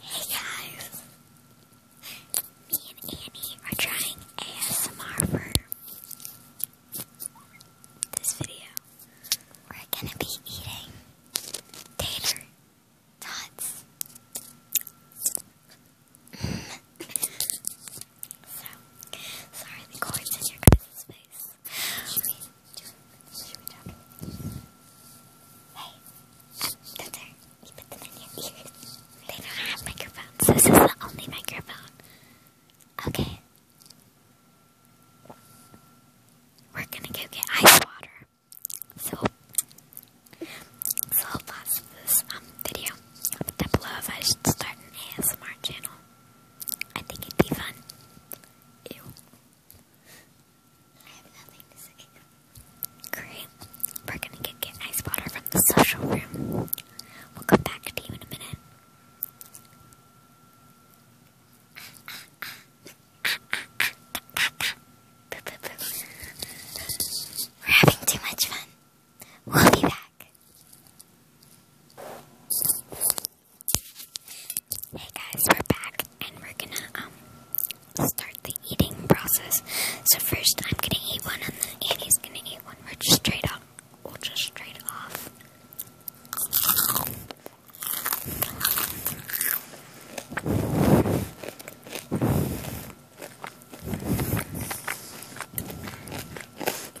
Hey guys, me and Annie are trying ASMR for this video. We're gonna be eating tater tots. so, sorry the cords in your guys' face. Hey, that's her. You put them in your ears. They don't have microphones. This is the only microphone. Okay. We're gonna go get ice water. So, so i this video down below I should start an ASMR channel. I think it'd be fun. Ew. I have nothing to say. Great. We're gonna get, get ice water from the social room. We'll come back to you in a minute. We're having too much fun. We'll be back. Hey guys, we're back and we're gonna um start the eating process. So first I'm gonna eat one and then Annie's gonna eat one. We're just straight up we'll just straight off.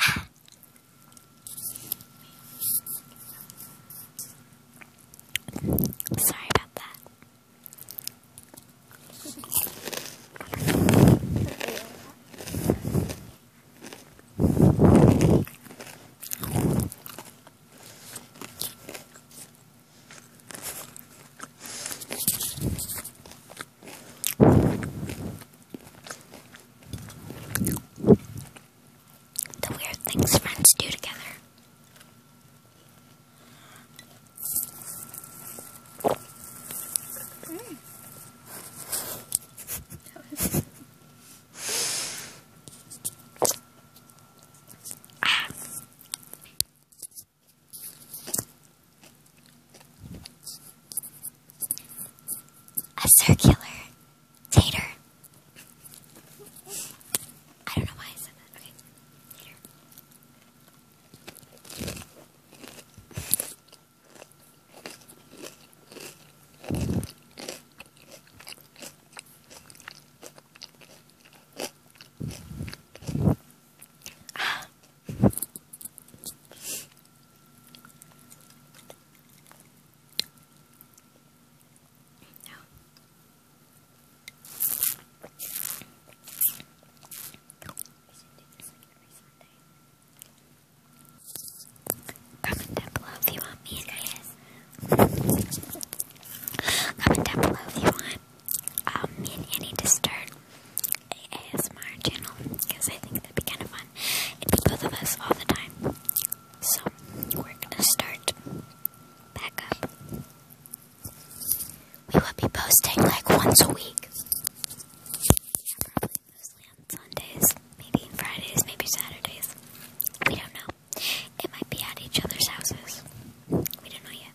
Ah. Sorry about that. The weird things friends do together. Mm. ah. A circular tater. I don't know why I said that. Okay. Ah, no. Comment down below if you want me and Anna's. Comment down below if you want um, me and Annie to a ASMR channel because I think that'd be kind of fun. It'd be both of us all the time. So we're gonna start back up. We will be posting like once a week. probably mostly on Sundays, maybe Fridays, maybe Saturdays. We don't know. It might be at each other's houses. We don't know yet.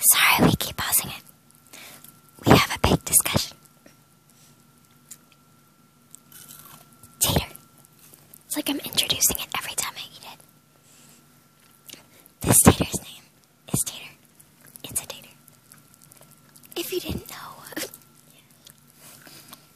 Sorry, we keep pausing it. We have a big discussion. Tater. It's like I'm introducing it every time I eat it. This tater's name is Tater. It's a tater. If you didn't know.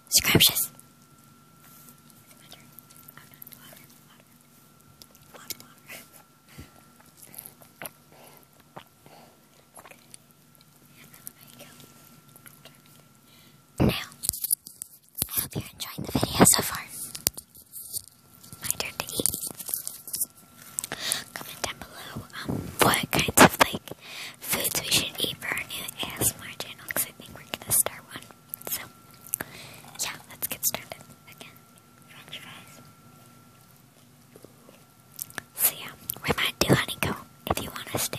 Scrumptious. Now, I hope you're enjoying the video so far. My turn to eat. Comment down below um, what kinds of like foods we should eat for our new ASMR channel because I think we're gonna start one so, yeah, let's get started. Again, So yeah, we might do honeycomb if you want us to.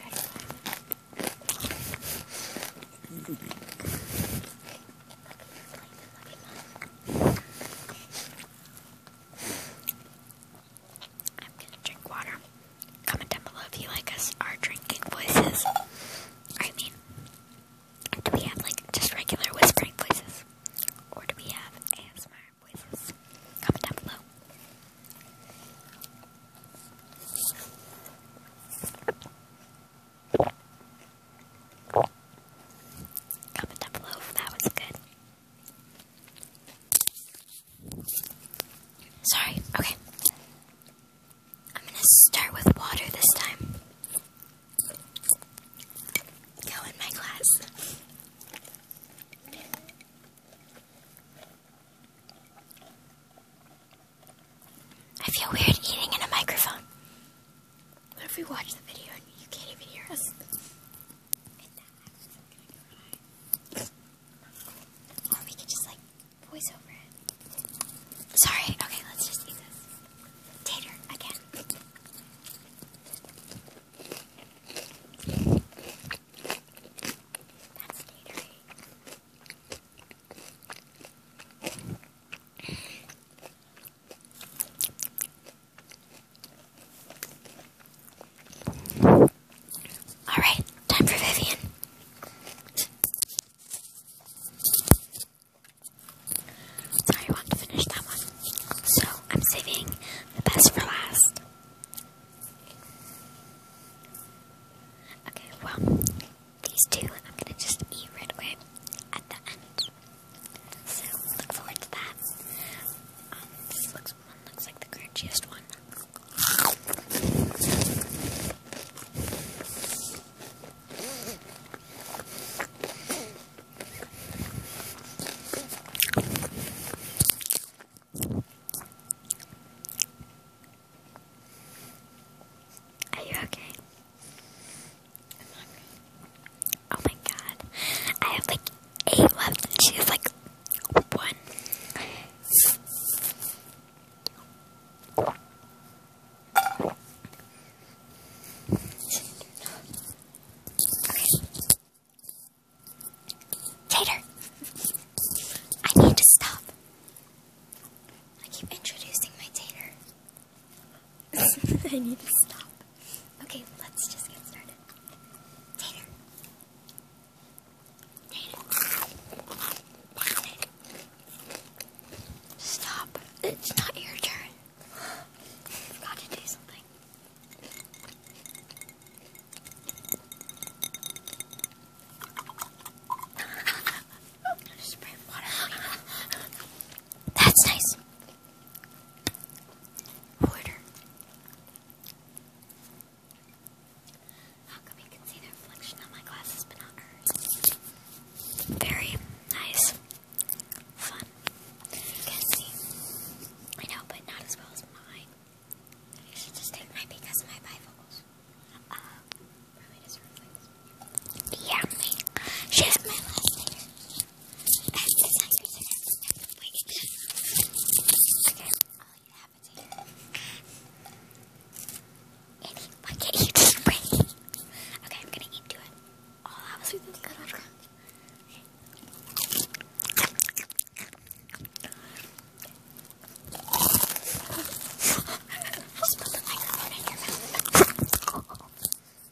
That a good one. I'm gonna drink water. Comment down below if you like us, our drinking voices. I mean, do we have like just regular whispering voices? Or do we have ASMR voices? Comment down below. Comment down below that was good. Sorry, okay. I'm gonna start with water this time. Go in my glass. I feel weird eating in a microphone. What if we watch the video and you can't even hear us? we could just like voice over it. Sorry, okay, let's just do this. Tater, again. That's Tater. Alright, time for Vivian. So I want to finish that one. So I'm saving the best for last. Okay, well, these two I'm gonna just eat right away at the end. So look forward to that. Um, this looks one looks like the crunchiest one. Are you okay? Oh my god. I have like eight left and she like one. Tater! I need to stop. I keep introducing my tater. I need to stop. Okay, let's just get started. Tater. Tater. Stop. It's not your turn. I to do something. That's nice. Porter. How come you can see the reflection on my glasses but not hers? Very nice. Fun. You can see. I know, but not as well as mine. I should just take my because my bifocals. Uh, yeah, has my last name. That's the next person. Okay, all you have is here. Andy, why can't you just break Okay, I'm gonna eat to it. All I was with is good on i the microphone in your mouth.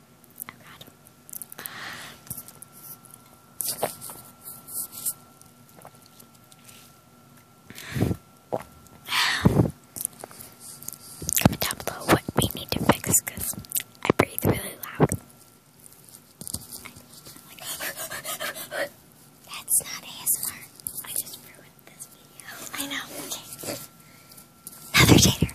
Comment down below what we need to fix because I breathe really loud. That's not ASMR. I just ruined this video. I know. Okay. Heather Tater.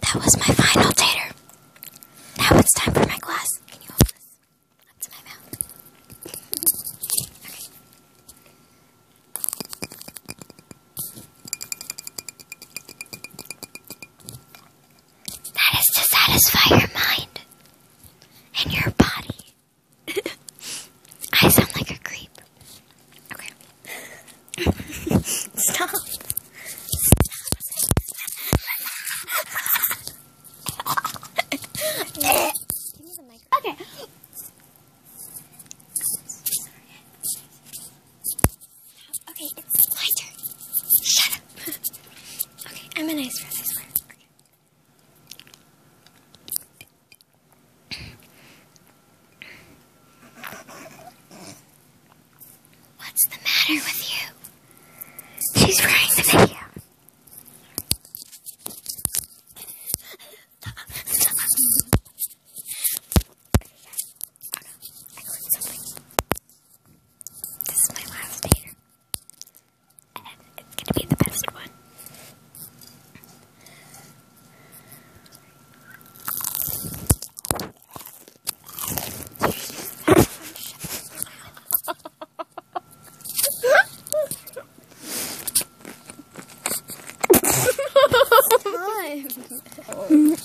That was my final tater. Now it's time for my glass. Can you hold this up to my mouth? Okay. That is to satisfy your mind and your body. I sound like a creep. Okay. Stop. okay. Okay, it's my turn. Shut up. okay, I'm an ice for What's the matter with you? She's running the video. This is my last day, And it's gonna be the best one. oh.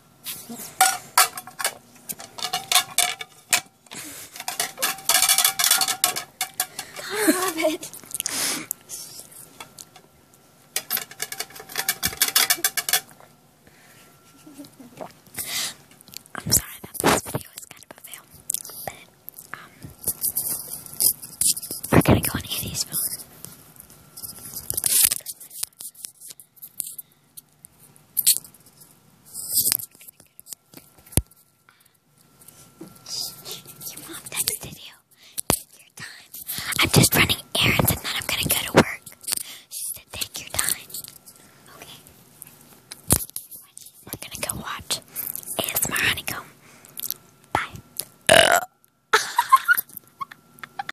I love it. I'm sorry that this video is kind of a fail, but um, we're gonna go on Andy's you mom texted you. Take your time. I'm just running errands and then I'm gonna go to work. She said, take your time. Okay. We're gonna go watch ASMR Honeycomb. Bye.